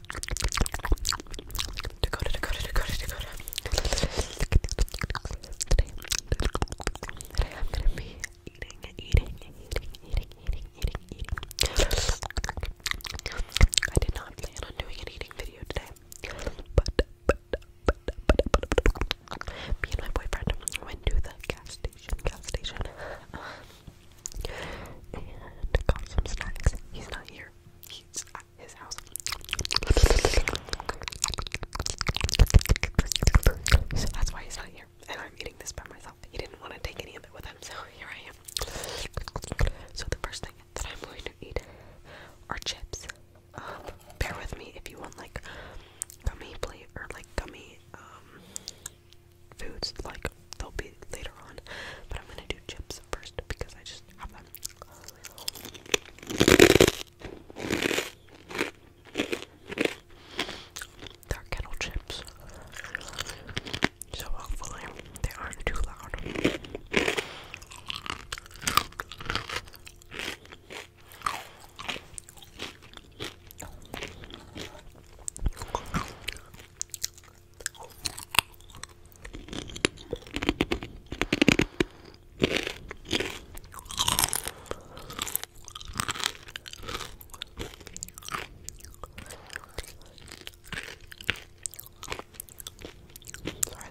Today, I'm gonna be eating, eating, eating, eating, eating, eating, eating. I did not plan on doing an eating video today, but, but, but, but, but, but me and my boyfriend went to the gas station, gas station, um, and got some snacks. He's not here his house. So that's why he's not here. And I'm eating this by myself. He didn't want to take any of it with him, so here I am. So the first thing that I'm going to eat are chips. Um, bear with me if you want like gummy plate or like gummy um, foods like they'll be later on. But I'm gonna do chips first because I just have them. They're kettle chips. So hopefully they aren't too loud. Sorry,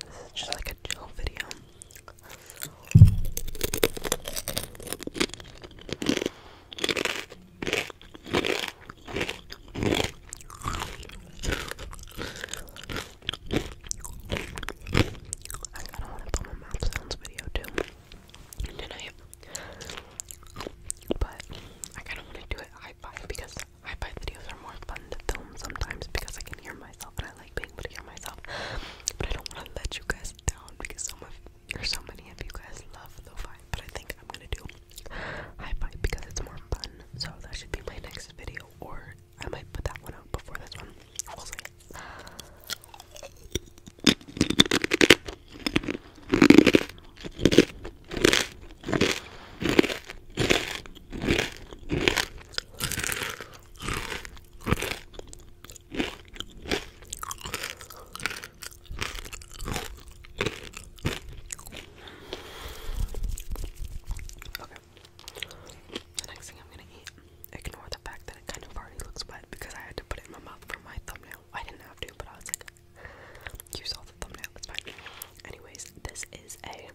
this is just like a chill video. I kind of want to film a mouth sounds video too tonight, but I kind of want to do it high five because high five videos are more fun to film sometimes because I can hear myself and I like being able to hear myself. But I don't want to let you guys down because so much, or so many of you guys love the vibe. But I think I'm gonna do high five because it's more fun. So that should be my next video, or I might put that one out before this one. We'll see. Okay. The next thing I'm gonna eat, ignore the fact that it kind of already looks wet because I had to put it in my mouth for my thumbnail. I didn't have to, but I was like, you saw the thumbnail, it's fine. Anyways, this is a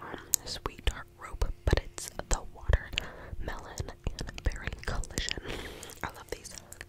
um, sweet dark rope, but it's the watermelon and berry collision. I love these.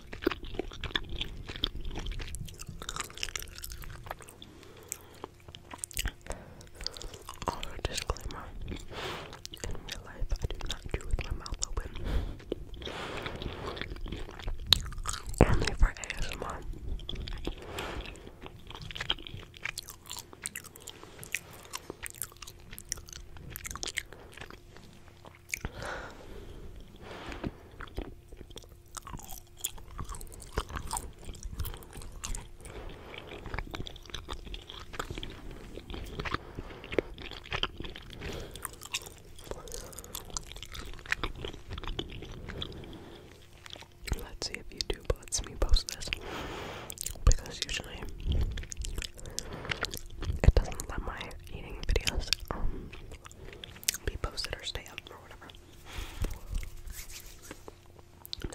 disclaimer in real life, I do not chew with my mouth open. Only for ASMR. Let's see if YouTube lets me post this because usually it doesn't let my eating videos um be posted or stay up or whatever.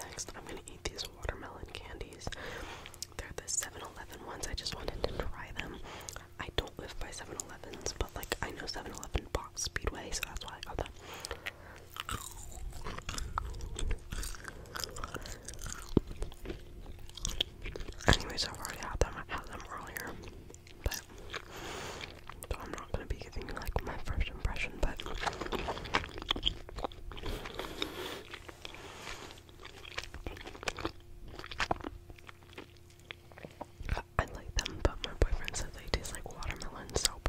Next, I'm gonna eat these watermelon candies. They're the 7-Eleven ones. I just wanted to try them. I don't live by 7-Elevens, but like I know 7-Eleven box Speedway, so that's why I got them. Anyways, I've already had them. had them earlier, but I'm not gonna be giving you like my first impression, but. I like them, but my boyfriend said they taste like watermelon soap.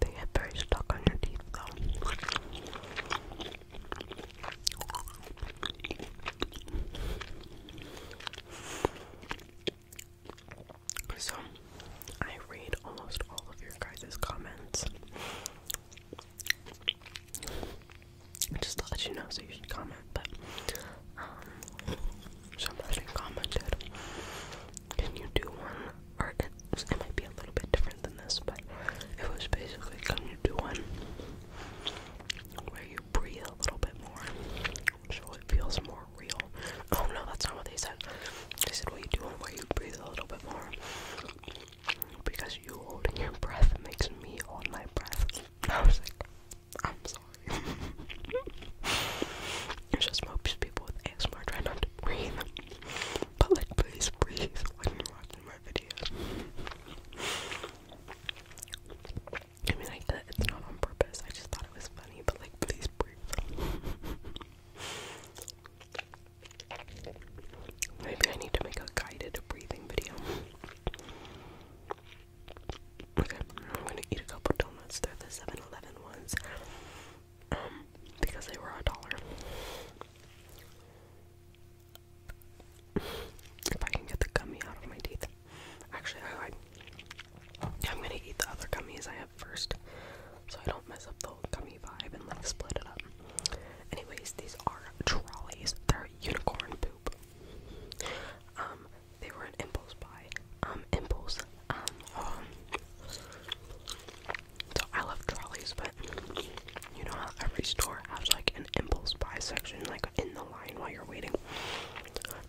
They get very stuck on your teeth, though. So I read almost all of your guys' comments. Just to let you know, so you should comment. But um, somebody commented, "Can you do one?" Or it, it might be a little bit different than this, but it was basically, "Can you do one where you breathe a little bit more, so it feels more real?" Oh no, that's not what they said. They said, What you do where you breathe a little bit more. Because you holding your breath makes me hold my breath. I was like, I'm sorry. it's just most people with ASMR try not to breathe. But like, please breathe when you're watching my videos. I mean, I get it's not on purpose. I just thought it was funny, but like, please breathe. Maybe I need to make a guided breathing video. Okay, I'm gonna eat a couple donuts. They're the 7 Eleven ones. Um, because they were a dollar. If I can get the gummy out of my teeth. Actually, I, am gonna eat the other gummies I have at first so I don't mess up the whole gummy vibe and like split it up. Anyways, these are trolleys. They're unicorn poop. Um, they were an impulse buy. Um, impulse. Um, um so I love trolleys, but you know how every store has like an impulse buy section, like in the line while you're waiting.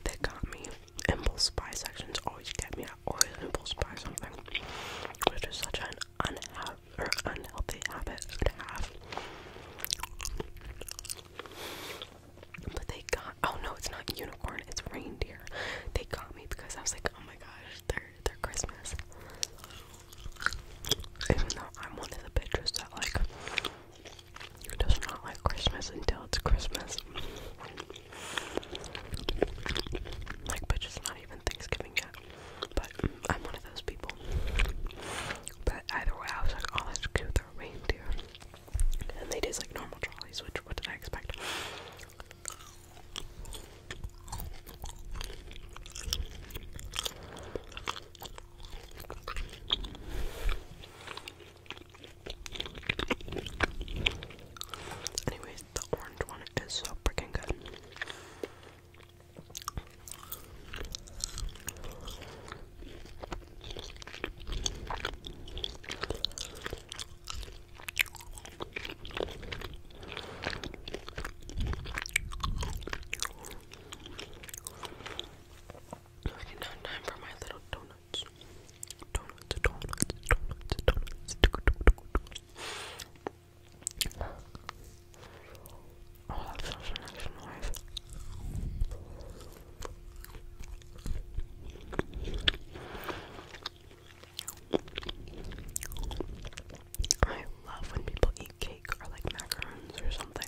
They got me impulse buy sections always get me. I always impulse buy something, which is such an unha or unhealthy habit to have. But they got oh no, it's not unicorn, it's reindeer. They got me because I was like, oh my gosh, they're they're Christmas. Even though I'm one of the bitches that like does not like Christmas until it's Christmas. Like, but it's not even Thanksgiving yet. But I'm one of those people. But either way, I was like, oh, that's cute, they're reindeer. And they taste like normal trolleys, which, what did I expect? Anyways, the orange one is so freaking good. Okay, now time for my little donut. Oh, I love when people eat cake or like macarons or something.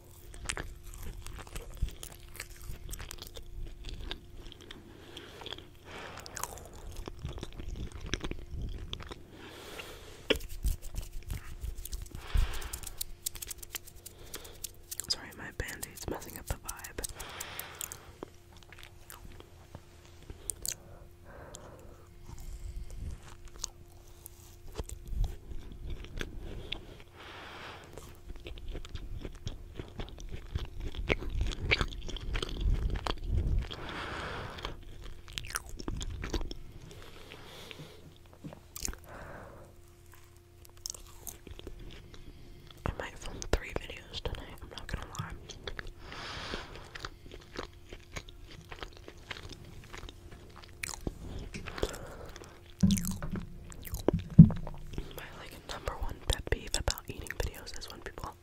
Sorry, my band aid's messing up the vibe. I might film three videos tonight, I'm not gonna lie. My like number one pet peeve about eating videos is when people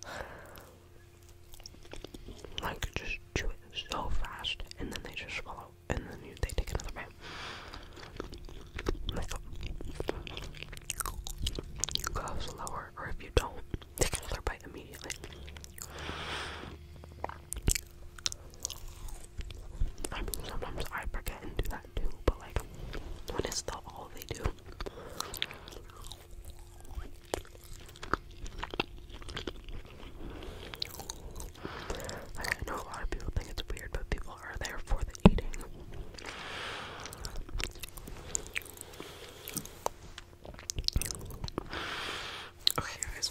like just chew it so fast and then they just swallow and then they take another bite. you go slower, or if you don't, take another bite immediately. I mean, sometimes I forget and do that too, but like, when it's the all they do. I know a lot of people think it's weird, but people are there for the eating. Okay, guys